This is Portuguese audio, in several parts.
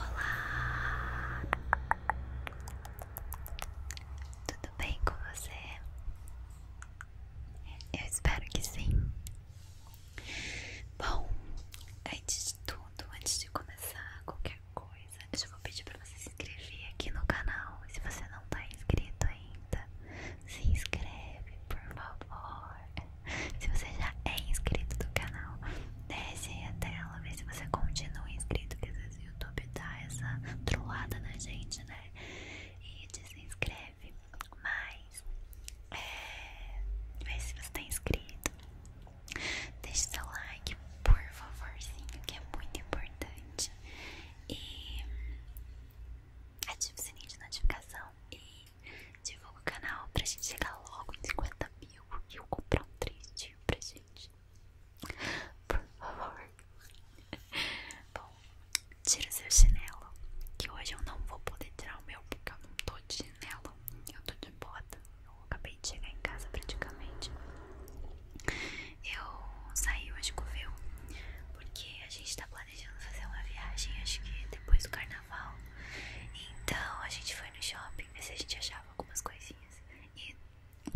Olá! Tudo bem com você? Eu espero que sim. Bom, antes de tudo, antes de começar qualquer coisa, eu vou pedir para você se inscrever aqui no canal. Se você não tá inscrito ainda, se inscreve, por favor. Se você já é inscrito do canal, Desce aí a tela, vê se você continua inscrito, porque às vezes o YouTube dá essa trollada na gente, né? E desinscreve. Mas é, vê se você está inscrito. Deixe seu like, por favorzinho, que é muito importante. E ative o sininho de notificação e divulga o canal pra gente chegar logo em 50 e eu comprar um tristinho pra gente. Por favor. Bom, tira seu chinelo. Que hoje eu não vou poder tirar o meu porque eu não tô de chinelo. Eu tô de bota. Eu acabei de chegar em casa praticamente. Eu saí hoje com o meu porque a gente tá planejando fazer uma viagem, acho que depois do carnaval. Então a gente foi no shopping ver se a gente achava algumas coisinhas e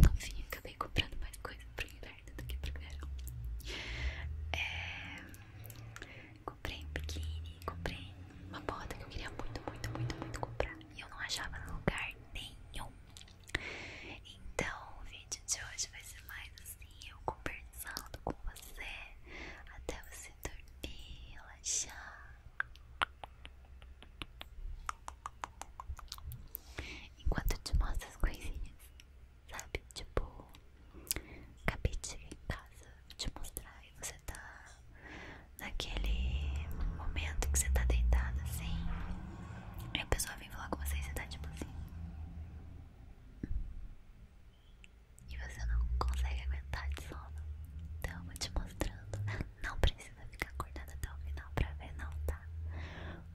no fim acabei comprando mais coisas pro inverno do que pro verão. É, comprei um biquíni, comprei uma bota que eu queria muito, muito, muito, muito comprar e eu não achava no lugar nenhum. Então o vídeo de hoje vai ser mais assim, eu conversando com você até você dormir, relaxar. Enquanto eu te mostro as coisinhas, sabe? Tipo, acabei em casa, te mostrar e você tá naquele momento que você tá deitada assim. E a pessoa vem falar com você e você tá tipo assim. E você não consegue aguentar de sono. Então eu vou te mostrando. Não precisa ficar acordada até o final pra ver, não, tá?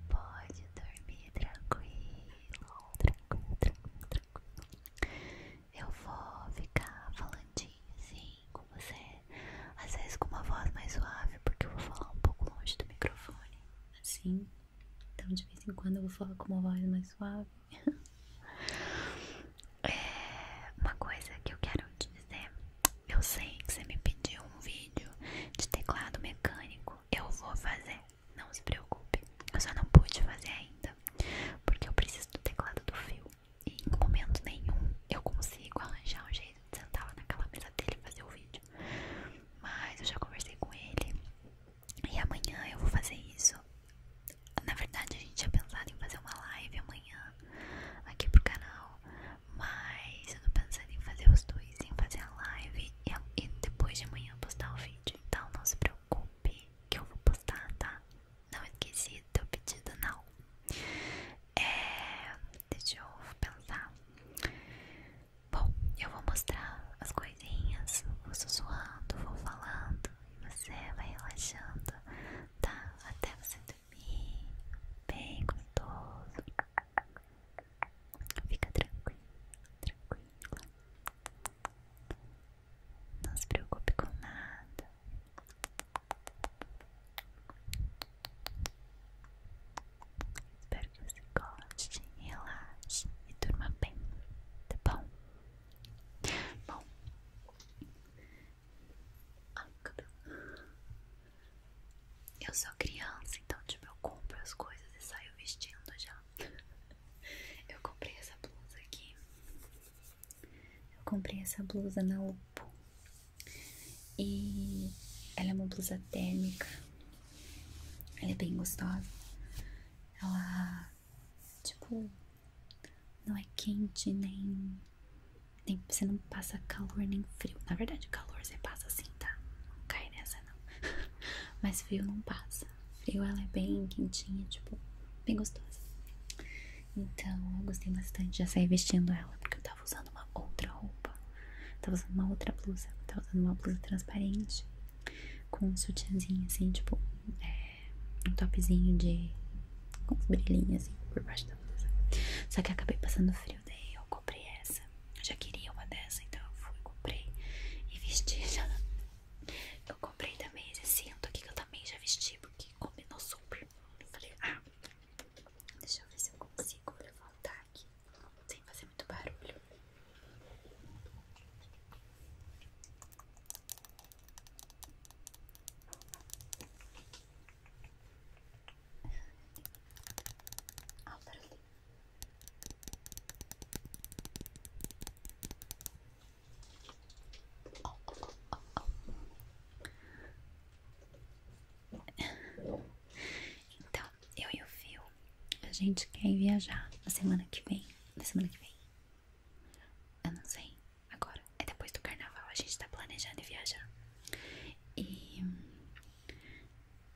Pode dormir tranquilo, tranquilo, tranquilo, tranquilo. Eu vou ficar falandinho assim com você, às vezes com uma voz mais suave, porque eu vou falar um pouco longe do microfone, assim. Então de vez em quando eu vou falar com uma voz mais suave. É, uma coisa que eu quero te dizer. Eu sei que você me pediu um vídeo de teclado mecânico. Eu vou fazer. Não se preocupe. Eu só não pude fazer ainda. Porque eu preciso do teclado do fio. E em momento nenhum eu consigo arranjar um jeito de sentar naquela mesa dele e fazer o vídeo. Mas eu já conversei com ele. E amanhã eu vou fazer isso. Na verdade, a gente tinha pensado em fazer uma live amanhã aqui pro canal, mas eu tô pensando em fazer os dois, em fazer a live e, depois de amanhã postar o vídeo. Então não se preocupe que eu vou postar, tá? Não esqueci do teu pedido, não. É, deixa eu pensar. Bom, eu vou mostrar as coisinhas, vou sussurrando, vou falando, e você vai relaxando, tá? Até você dormir, bem gostoso. Fica tranquilo, tranquila. Não se preocupe com nada. Espero que você goste, relaxe e durma bem, tá bom? Bom, eu sou criança, então tipo, eu compro as coisas e saio vestindo já. Eu comprei essa blusa aqui. Eu comprei essa blusa na UPO. E ela é uma blusa térmica. Ela é bem gostosa. Ela Tipo, não é quente nem, nem. Você não passa calor nem frio. Na verdade, calor você passa assim, tá? Não cai nessa, não. Mas frio não passa. Frio ela é bem quentinha, tipo, bem gostosa. Então eu gostei bastante. Já saí vestindo ela porque eu tava usando uma outra roupa. Eu tava usando uma outra blusa. Eu tava usando uma blusa transparente com um sutiãzinho assim, tipo. É, um topzinho de. com uns brilhinhos assim por baixo da blusa. Só que acabei passando frio, daí eu comprei essa. Eu já queria uma dessa, então eu fui, comprei e vesti já. Eu comprei também esse cinto aqui que eu também já vesti, porque combinou super. Eu falei, ah, deixa eu ver se eu consigo voltar aqui sem fazer muito barulho. Então, eu e o Fio, a gente quer viajar na semana que vem. Na semana que vem. Eu não sei agora. É depois do carnaval, a gente tá planejando viajar. E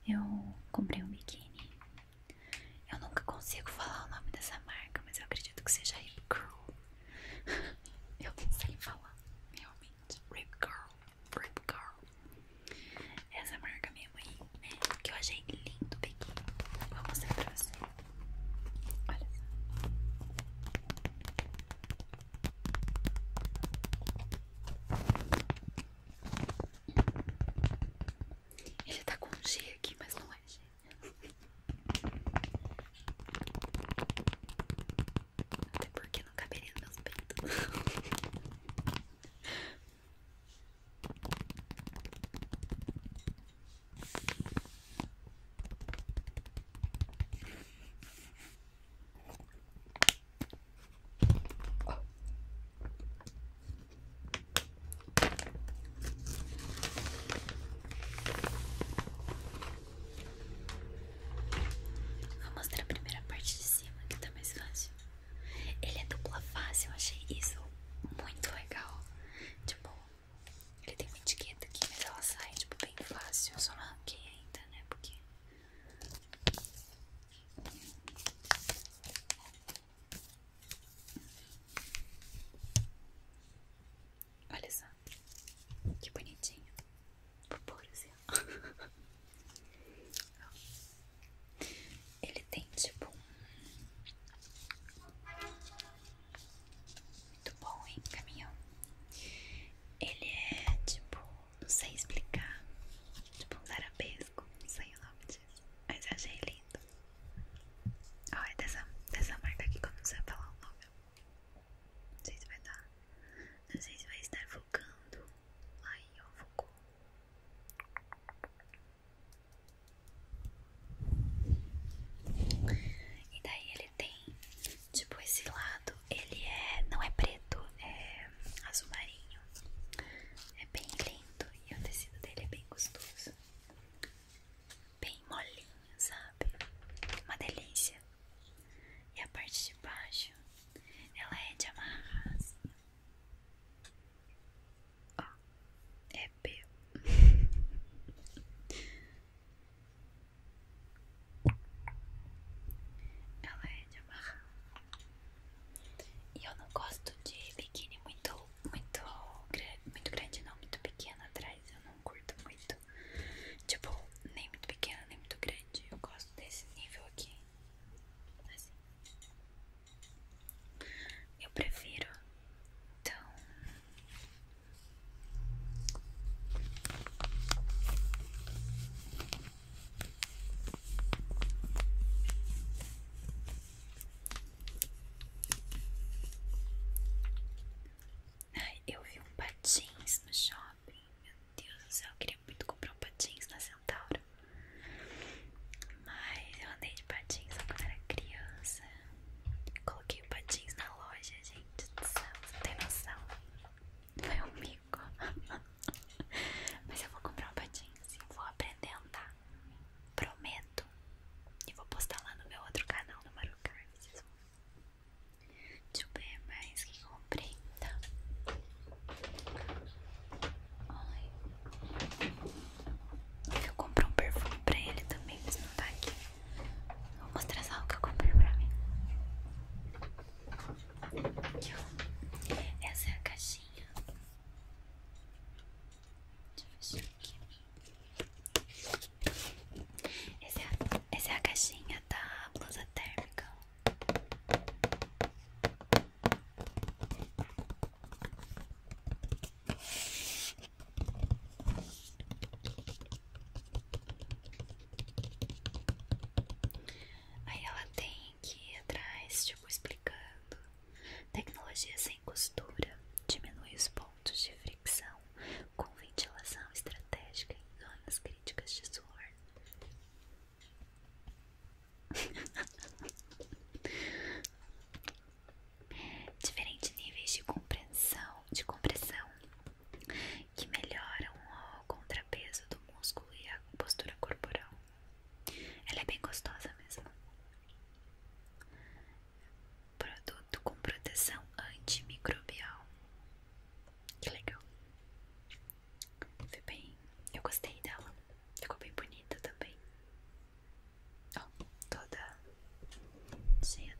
eu comprei um biquíni. Eu nunca consigo falar o nome dessa marca, mas eu acredito que seja Rip Curl. eu não sei falar, realmente. Rip Curl, Rip Curl. Essa marca minha aí, né? Que eu achei lindo o biquíni. vamos mostrar pra vocês. Olha Ele tá com G aqui, mas não é G. Até porque não caberia nos meus peitos. Vou mostrar a primeira parte de cima que tá mais fácil. Ele é dupla face, eu achei isso muito legal. Tipo, ele tem uma etiqueta aqui, mas ela sai tipo bem fácil. Eu só não arranquei ainda, né? Porque. Olha só, que bonitinho. Vou pôr assim. Ele tem tipo um. Muito bom, hein, caminhão? Ele é tipo, não sei explicar, tipo um zarabesco, não sei o nome disso, mas eu achei lindo. Ó, é dessa, dessa marca aqui que eu não sei falar o nome. Não sei se vai dar, não sei vai estar focando. Aí, ó, focou. E daí ele tem, tipo, esse lado, ele é, não é preto, é azul marinho. É bem lindo e o tecido dele é bem gostoso. Bem molinho, sabe? Uma delícia. E a parte de baixo, ela é de amarrar assim. Ó, é P. Ela é de amarrar. E eu não gosto de biquíni muito, muito, muito grande, não, muito pequena atrás. Eu não curto muito. Tipo, nem muito pequena, nem muito grande. Eu gosto desse nível aqui. Assim. Eu prefiro, então. eu vi um patins no shopping. Meu Deus do céu, eu queria muito comprar um patins na Centauro. Mas eu andei de patins quando era criança. Coloquei patins na loja, gente. Do não tem noção. Foi um mico. Mas eu vou comprar um patins e vou aprender a andar. Prometo. E vou postar lá no meu outro canal, no Marucar. Vocês vão Deixa eu ver mais que comprei então. Ai. Eu comprar um perfume pra ele também, mas não tá aqui. Vou mostrar só o que eu comprei pra mim. Essa é a caixinha. Deixa eu fechar aqui. Essa é a, essa é a caixinha da blusa térmica. Aí ela tem que ir atrás, tipo, explicando. Tecnologia sem costura diminui os pontos de fricção com ventilação estratégica em zonas críticas de suor. Diferentes níveis de compreensão de compressão que melhoram o contrapeso do músculo e a postura corporal. Ela é bem gostosa mesmo. Produto com proteção antimicrobial. Que legal. Foi bem. Eu gostei dela. Ficou bem bonita também toda cheia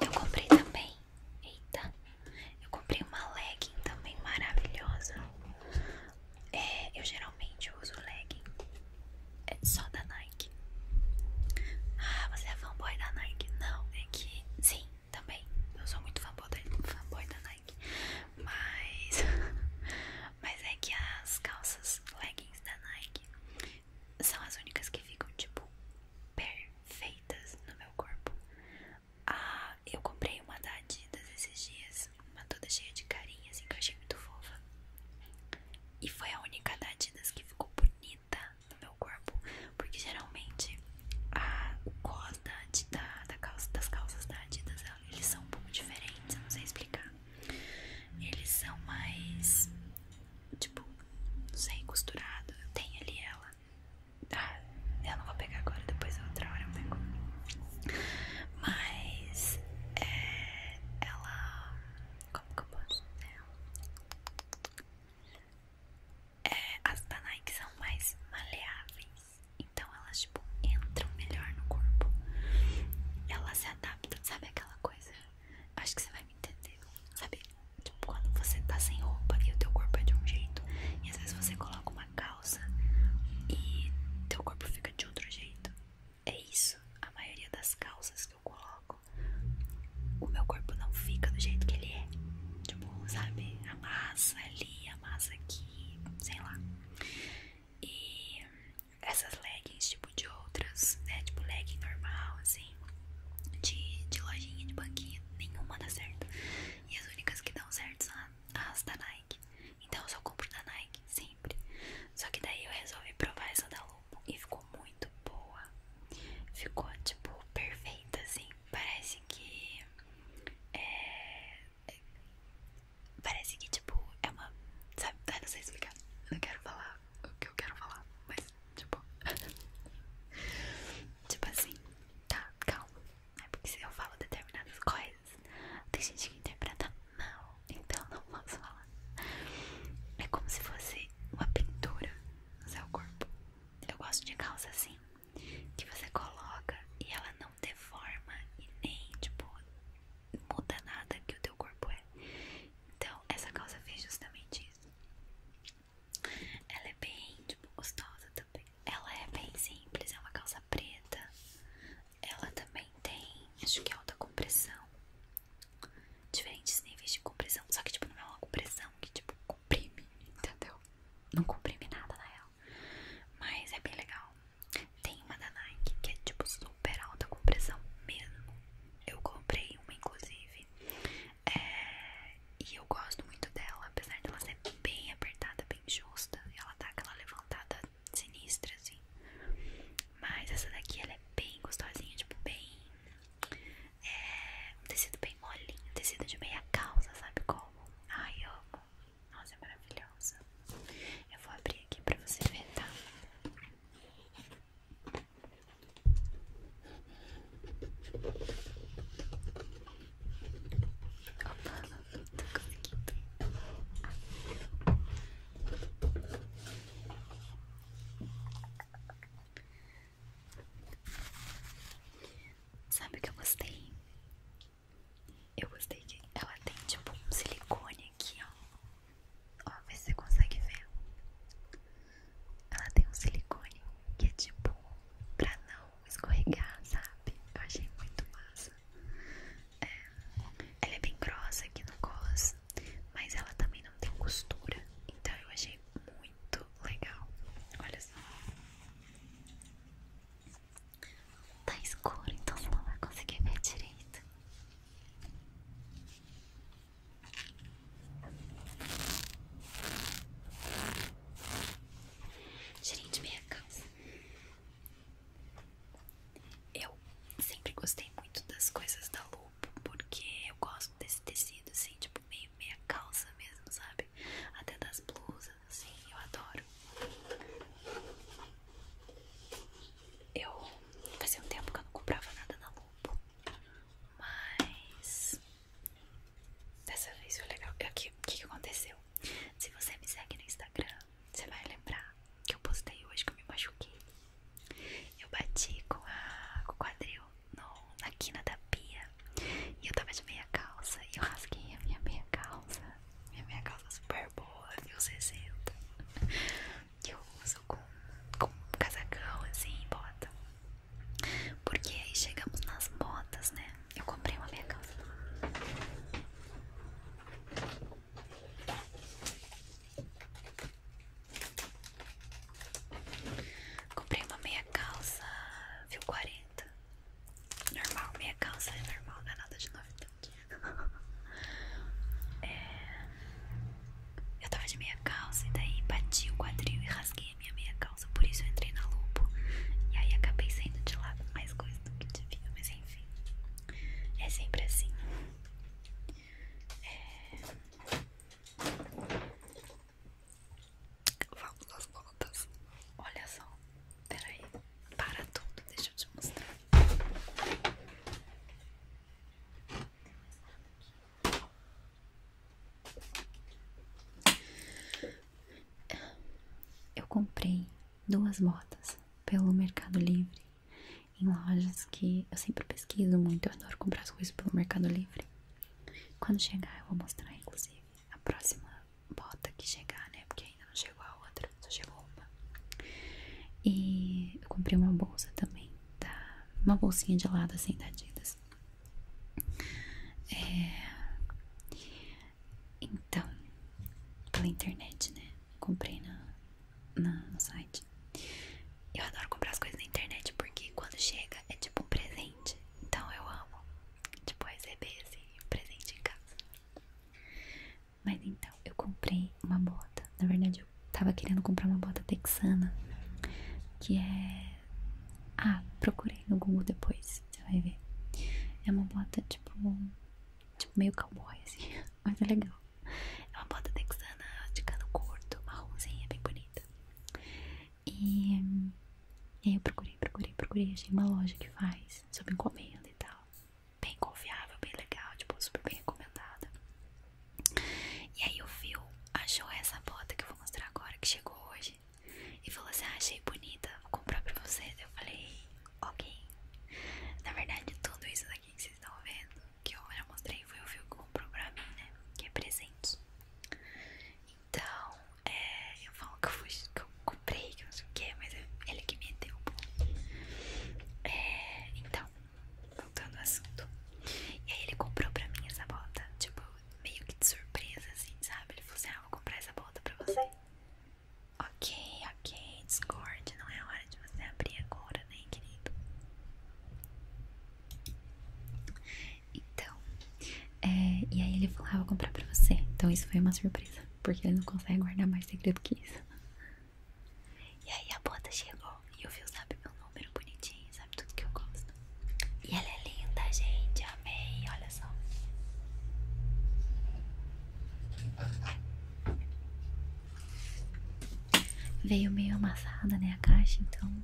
eu comprei também Eita, eu comprei uma legging também maravilhosa. É, eu geralmente uso legging é só da Nike. Ah, você é fanboy da Nike? Não, é que sim, também. Eu sou muito fanboy da, Nike. Mas, mas é que as calças leggings da Nike são as únicas que ficam tipo perfeitas no meu corpo. Ah, eu comprei uma da Adidas esses dias, uma toda cheia de carinha, assim, que eu achei muito fofa. E foi a única da Adidas que ficou bonita no meu corpo, porque geralmente a, o cos da, da, calça, das calças da Adidas, eles são um pouco diferentes, eu não sei explicar. Eles são mais, tipo, não sei, costurado. tem ali ela ah, eu não vou pegar agora, depois outra hora eu pego. Mas é, ela. Como que eu posso É, as da são mais maleáveis. Então elas tipo entram melhor no corpo. Elas se adaptam, sabe aquela coisa? Acho que você vai entendeu? Sabe? Tipo, quando você tá sem roupa e o teu corpo é de um jeito, e às vezes você coloca uma calça e teu corpo fica de outro jeito. É isso. A maioria das calças que eu coloco, o meu corpo não fica do jeito que ele é. Tipo, sabe? A massa ali, a massa aqui, sei lá. E essas leggings, tipo, de outras, né? Tipo, legging normal, assim Assim, de, lojinha, de banquinha, nenhuma dá certo. E as únicas que dão certo são as da Nike. Então eu só compro da Nike, sempre. Só que daí eu resolvi provar essa da Lupo e ficou muito boa. Ficou, tipo, perfeita, assim. Parece que. É. Parece que, tipo, é uma. Sabe? Eu não sei explicar. Não quero falar o que eu quero falar, mas Tipo, tipo assim, tá, calma. É porque se eu falo determinadas coisas, tem gente que interpreta mal, então não vamos falar. É como se fosse uma pintura no seu corpo. Eu gosto de calça assim, que você coloca e ela não deforma e nem, tipo, muda nada que o teu corpo é. Então, essa calça fez justamente isso. Ela é bem, tipo, gostosa também. Ela é bem simples, é uma calça preta. Ela também tem, acho que é alta compressão. Diferentes níveis de compressão. Só que, tipo, não é uma compressão que, tipo, comprime, entendeu? Não comprime nada, na real. Mas é bem legal. Tem uma da Nike que é, tipo, super alta compressão mesmo. Eu comprei uma, inclusive. É, e eu gosto muito dela, apesar dela ser bem apertada, bem justa. Ela tá aquela levantada sinistra, assim. Mas essa daqui, ela é bem gostosinha, tipo, bem. É, um tecido bem molinho, tecido de meia calça, sabe como? Ai, amo. Nossa, é maravilhosa. Eu vou abrir aqui pra você ver, tá? Opa, Sabe o que eu gostei? Eu gostei que ela tem tipo um silicone aqui, ó. Ó, vê se você consegue ver. Ela tem um silicone que é tipo pra não escorregar, sabe? Eu achei muito massa. É, ela é bem grossa aqui no cos, mas ela também não tem costura. Então eu achei muito legal. Olha só. Tá escuro, então você não vai conseguir ver direito. Gerente minha calça. Eu sempre gostei muito das coisas da Lupo, porque eu gosto desse tecido, assim, tipo, meio meia calça mesmo, sabe? Até das blusas, assim, eu adoro. Eu fazia um tempo que eu não comprava nada na Lupo. Mas dessa vez foi legal. O que, que aconteceu? Se você me segue no Instagram, você vai lembrar que eu postei hoje que eu me machuquei. Eu bati com, o quadril na quina da pia e eu tava de meia calça e eu rasguei a minha meia calça. Minha meia calça super boa, viu? 60 que eu uso com, com casacão, assim, bota. Porque aí chegamos nas botas, né? Eu comprei uma meia calça. Comprei uma meia calça, viu? 40. Normal, meia calça é normal, não é nada de novidade. Então, é... Eu tava de meia calça e daí bati o quadril e rasguei a minha meia calça. Por isso eu entrei na lupa E aí acabei saindo de lado mais coisa do que devia, mas enfim. É sempre assim. É. Vamos às voltas. Olha só. Peraí. Para tudo. Deixa eu te mostrar. Eu comprei duas botas pelo Mercado Livre, em lojas que eu sempre pesquiso muito, eu adoro comprar as coisas pelo Mercado Livre. Quando chegar, eu vou mostrar, inclusive, a próxima bota que chegar, né? Porque ainda não chegou a outra, só chegou uma. E eu comprei uma bolsa também uma bolsinha de lado assim da é, então, pela internet, né? Comprei na, na, no site. Eu adoro comprar as coisas na internet porque quando chega é tipo um presente. Então eu amo, tipo, receber esse assim, presente em casa. Mas então, eu comprei uma bota. Na verdade, eu tava querendo comprar uma bota texana. Que é. Ah, procurei no Google depois, você vai ver. É uma bota tipo. Tipo meio cowboy, assim. Mas é legal. É uma bota texana de cano curto, marronzinha, bem bonita. E, eu procurei, procurei, procurei. Achei uma loja que faz, sob encomenda e tal. Bem confiável, bem legal, tipo, super bem recomendada. E aí o Phil achou essa bota que eu vou mostrar agora, que chegou hoje, e falou assim: ah, achei bonita, vou comprar pra vocês. Eu falei: ok. Na verdade, tudo isso daqui que vocês estão vendo, que eu já mostrei, foi o Phil que comprou pra mim, né? Que é presente. Então, é, eu falo que eu, comprei, que eu não sei o que, mas ele que me deu. É, então, voltando ao assunto. E aí ele comprou pra mim essa bota, tipo, meio que de surpresa, assim, sabe? Ele falou assim, ah, vou comprar essa bota pra você. Ok, ok, Discord, não é hora de você abrir agora, né, querido? Então, é, e aí ele falou, ah, vou comprar pra você. Então isso foi uma surpresa, porque ele não consegue guardar mais segredo que isso. E aí a bota chegou e o Viu sabe meu número bonitinho, sabe tudo que eu gosto. E ela é linda, gente, amei, olha só. Veio meio amassada, né, a caixa, então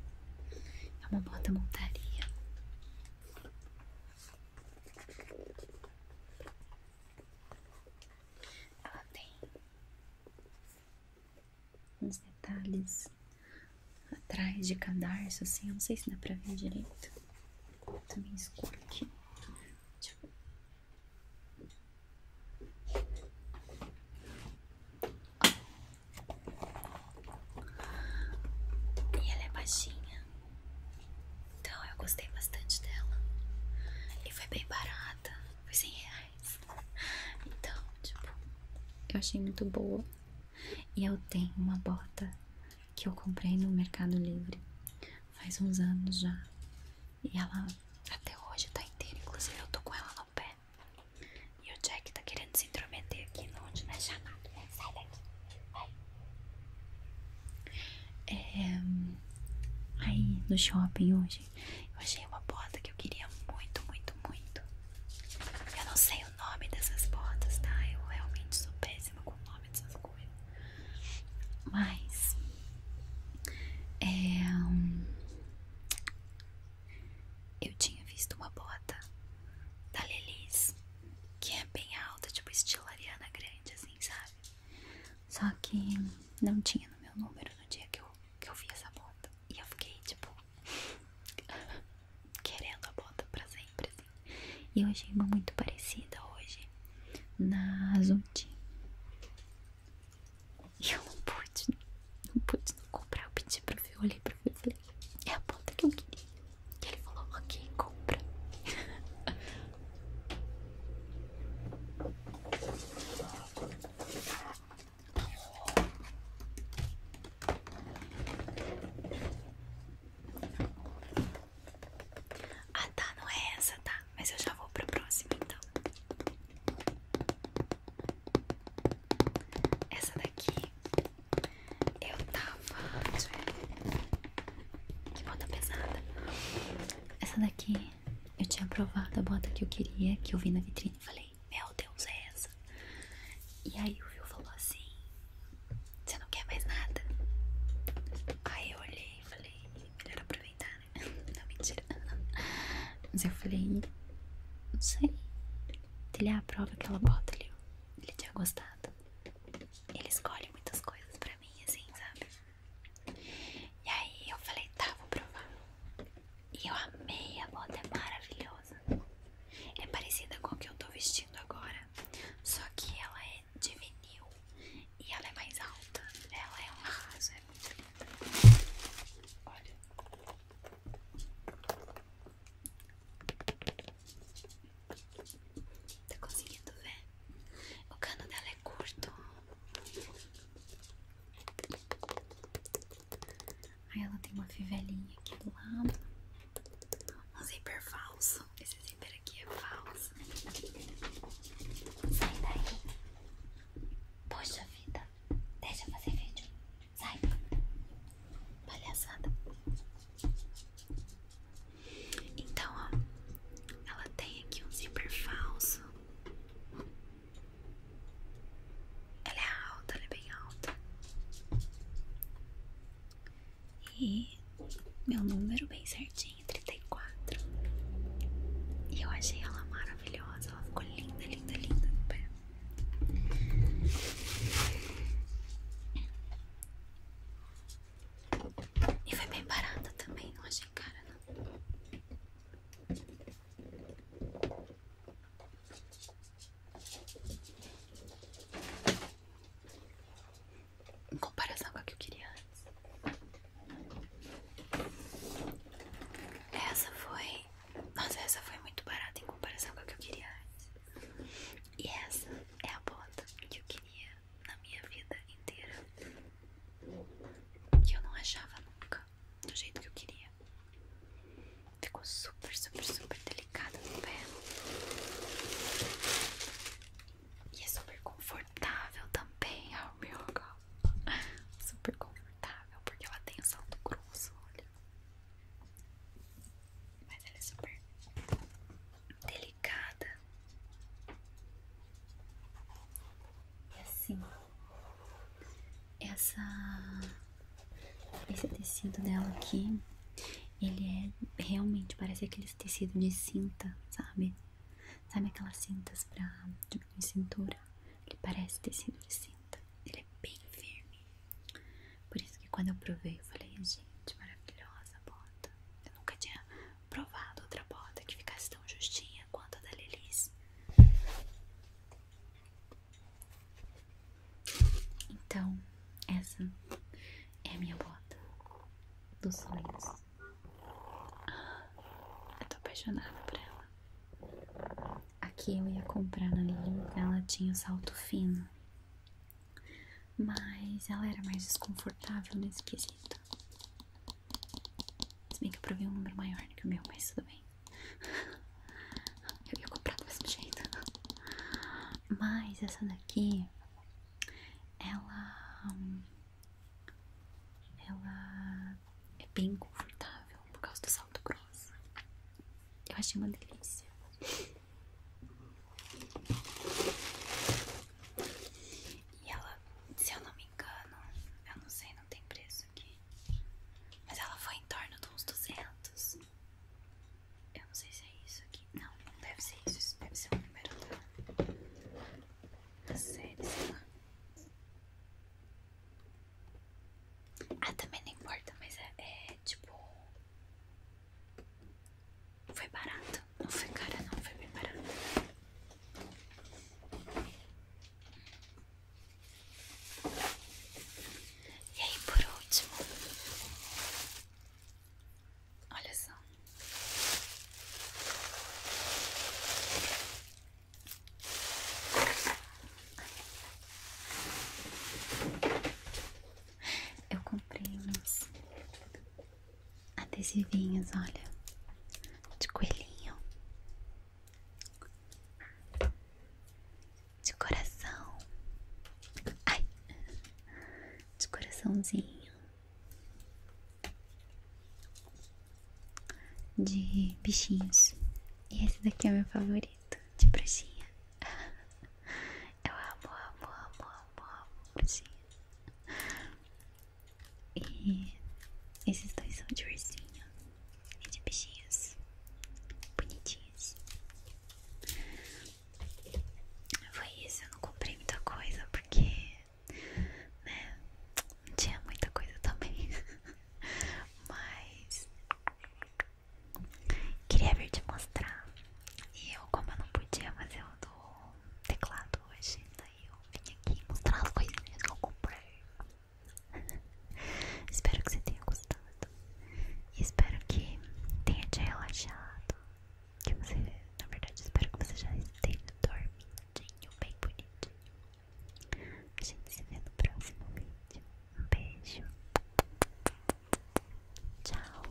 é uma bota montaria. Ela tem uns detalhes atrás de cadarço, assim, eu não sei se dá pra ver direito. Também escuro aqui. E ela é baixinha, então eu gostei bastante dela. E foi bem barata, foi 100 reais. Então, tipo, eu achei muito boa. E eu tenho uma bota que eu comprei no Mercado Livre faz uns anos já. E ela até hoje tá inteira, inclusive eu tô com ela no pé. E o Jack tá querendo se intrometer aqui no onde não é chamado, né? Sai daqui, vai. É, aí no shopping hoje eu achei uma bota que eu queria muito, muito, muito. Eu não sei o nome dessas botas, tá? Eu realmente sou péssima com o nome dessas coisas. Mas é, hum, eu tinha visto uma bota da Lelis que é bem alta, tipo estilo Ariana Grande, assim, sabe? Só que não tinha no meu número no dia que eu que eu vi essa bota e eu fiquei tipo querendo a bota pra sempre assim. E eu achei uma muito parecida hoje na Zundi. E eu não pude, não pude não comprar. Eu pedi pro Fio, olhei pro Fio e falei: É a bota que eu queria. E ele falou: Ok, compra. Ah tá, não é essa, tá? Mas eu já vou pra próxima então. Essa daqui eu tava. Deixa eu Que ponta pesada. Essa daqui eu tinha provado a bota que eu queria, que eu vi na vitrine e falei, meu Deus, é essa. E aí o viu falou assim, você não quer mais nada? Aí eu olhei e falei, melhor aproveitar, né? Não, mentira. Mas eu falei, não sei. Ele é aprova aquela bota ali, ele tinha gostado. Ele escolhe muitas coisas pra mim, assim, sabe? E aí eu falei, tá, vou provar. E eu amei, a bota é maravilhosa. É parecida com o que eu tô vestindo agora, só que ela é de vinil e ela é mais alta. Ela é um arraso, é muito linda. Olha. Tá conseguindo ver? O cano dela é curto. Aí ela tem uma fivelinha aqui do lado. Um zíper falso. Esse zíper aqui é falso. Sai daí. Poxa vida. Deixa eu fazer vídeo. Sai. Palhaçada. Então, ó. Ela tem aqui um zíper falso. Ela é alta, ela é bem alta. E meu número bem certinho, 34. E eu achei ela maravilhosa, ela ficou linda, linda, linda no pé. E foi bem barata também, não achei cara não. Em comparação com a que eu queria antes. Essa foi. Nossa, essa foi muito barata em comparação com a que eu queria antes. E essa é a ponta que eu queria na minha vida inteira que eu não achava nunca do jeito que eu queria. Ficou super, super, super delicada no pé e é super confortável também. ao meu super confortável porque ela é tem o salto grosso, olha. Mas ela é super delicada e é assim, essa, esse tecido dela aqui, ele é realmente, parece aqueles tecidos de cinta, sabe? Sabe aquelas cintas pra cintura? Ele parece tecido de cinta, ele é bem firme. Por isso que quando eu provei, eu falei, gente, maravilhosa bota. Eu nunca tinha provado outra bota que ficasse tão justinha quanto a da Lilith. Então, essa é a minha bota dos sonhos. Ah, eu tô apaixonada por ela. Aqui eu ia comprar na Lilith, ela tinha o salto fino. Mas ela era mais desconfortável nesse esquisita. Se bem que eu provei um número maior que o meu, mas tudo bem. Eu ia comprar do mesmo jeito. Mas essa daqui, ela. Ela é bem confortável por causa do salto grosso. Eu achei uma delícia. E ela, se eu não me me eu não sei, não tem preço aqui. Mas ela foi em torno de uns 200. Eu não sei se é isso aqui. Não, não deve ser isso. Isso deve ser o número da, série, sei Ah, também não importa, mas é, é tipo. Foi barato. Não foi cara, não. Foi bem barato. E aí, por último, olha só. Eu comprei uns adesivinhos, olha, de coelhinho, de coração, ai, de coraçãozinho, de bichinhos. E esse daqui é meu favorito, de bruxinha. Eu amo, amo, amo, amo, amo bruxinha. E esses dois são de ursinho e de bichinhos bonitinhos. Foi isso, eu não comprei muita coisa porque, né, não tinha muita coisa também. Mas queria vir te mostrar. E eu, como eu não podia fazer o do teclado hoje, né, eu vim aqui mostrar as coisinhas que eu comprei. espero que você tenha gostado. espero que tenha te relaxado. Que você, na verdade, espero que você já esteja dormidinho, bem bonitinho. A gente se vê no próximo vídeo. Um beijo. Tchau.